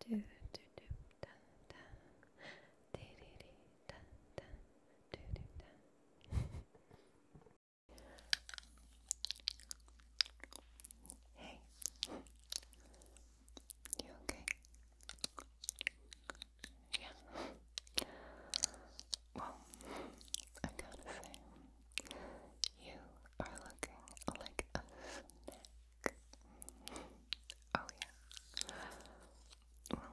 do do do da da dee dee dee da da do do da Hey You okay? Yeah Well I gotta say you are looking like a snack Oh yeah. Well,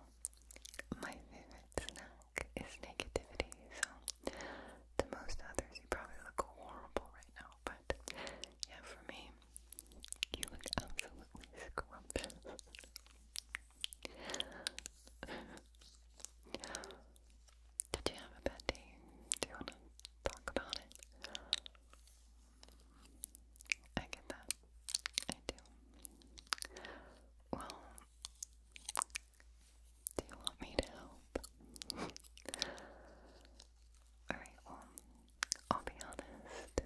my favorite snack is negativity, so to most others you probably look horrible right now, but yeah, for me, you look absolutely scrumptious. Did you have a bad day? Do you want to talk about it? I get that. I do. Well, do you want me to help? Alright, well, I'll be honest.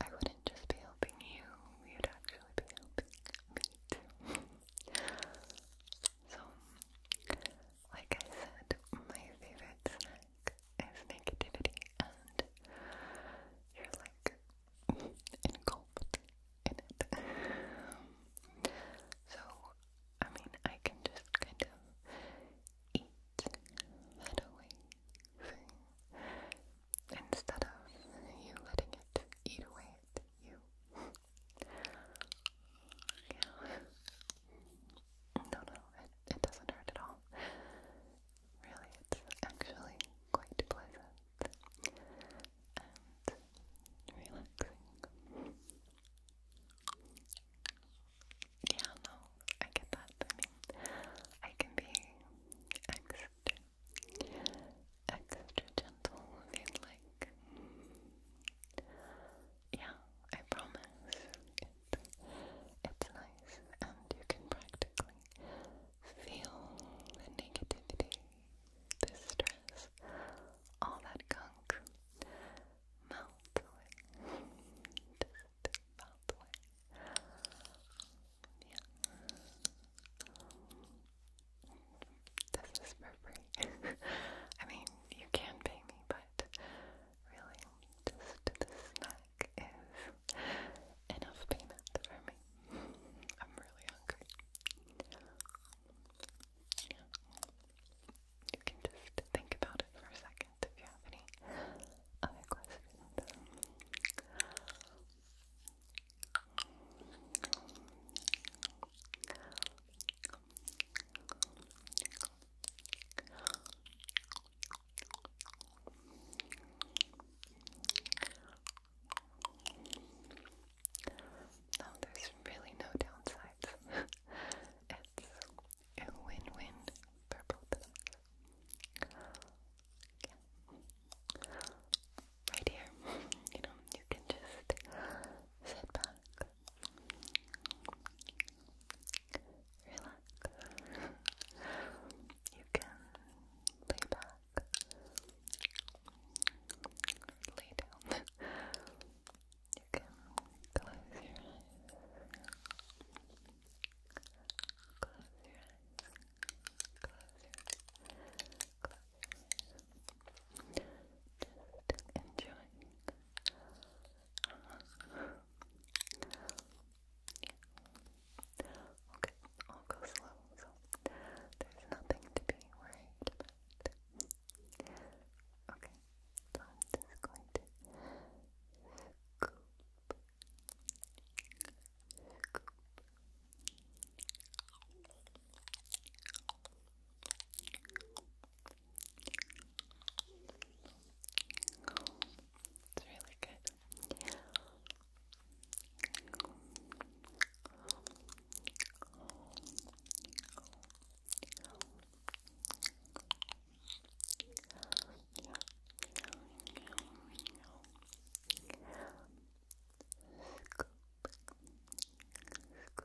I wouldn't just be helping you, you'd actually be helping me too. so, like I said, my favorite snack is negativity, and you're like engulfed in it. so, I mean, I can just kind of eat that away instead of you letting it eat away at you. No, no, it, it doesn't hurt at all. Really, it's actually quite pleasant and relaxing. Yeah, no, I get that. I can be extra, extra gentle if like yeah, I promise it, it's nice and you can practically feel the negativity, the stress, all that gunk melt away, yeah this is for free I mean, you can pay me, but but really, just the snack is enough payment for me. I'm really hungry. You can just think about it for a second if you have any questions. No, there's really no downsides. it's a win-win for both Right here, you know, you can just sit back Relax. You can lay back, lay down. You can close your eyes. Close your eyes. Close your eyes. Close your eyes. Just enjoying. Okay, I'll go slow, so there's nothing to be worried Okay, so I'm just going to scoop. Scoop, it's really good. Scoop. Scoop.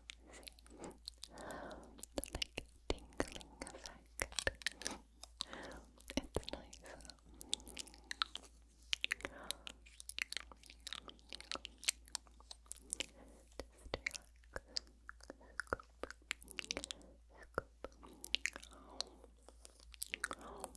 the like tingling effect. it's nice. Scoop. Scoop.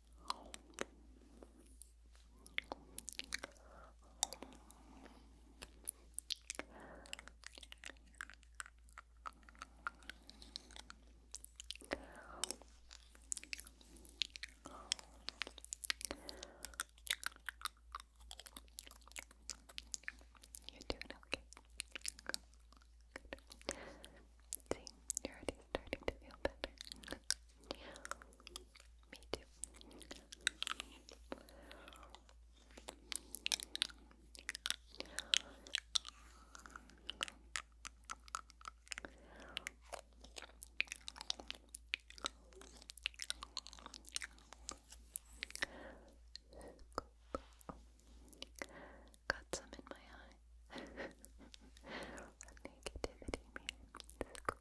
You're doing okay. See, you're already starting to feel better. Me too. Got some in my eye. Negativity means scoop.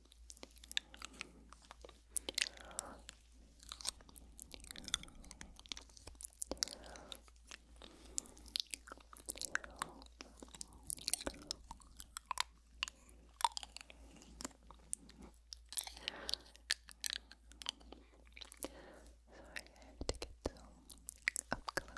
Sorry, I have to get some up close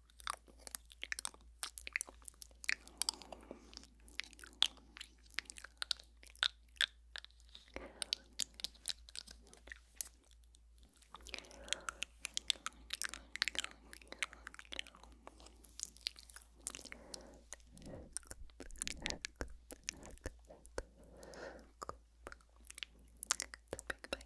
the big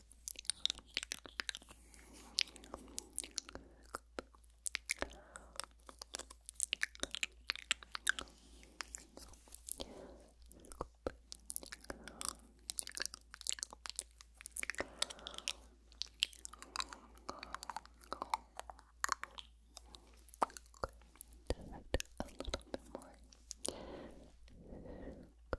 Good. Perfect. A little bit more. Good.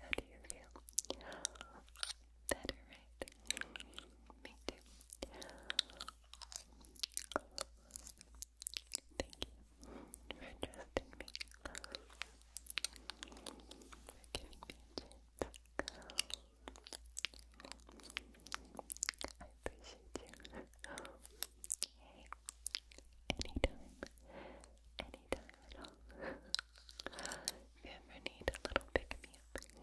How do you feel? Better, right? Thank you for trusting me. For giving me a chance. I appreciate you. anytime. Anytime at all. If you ever need a little pick me up.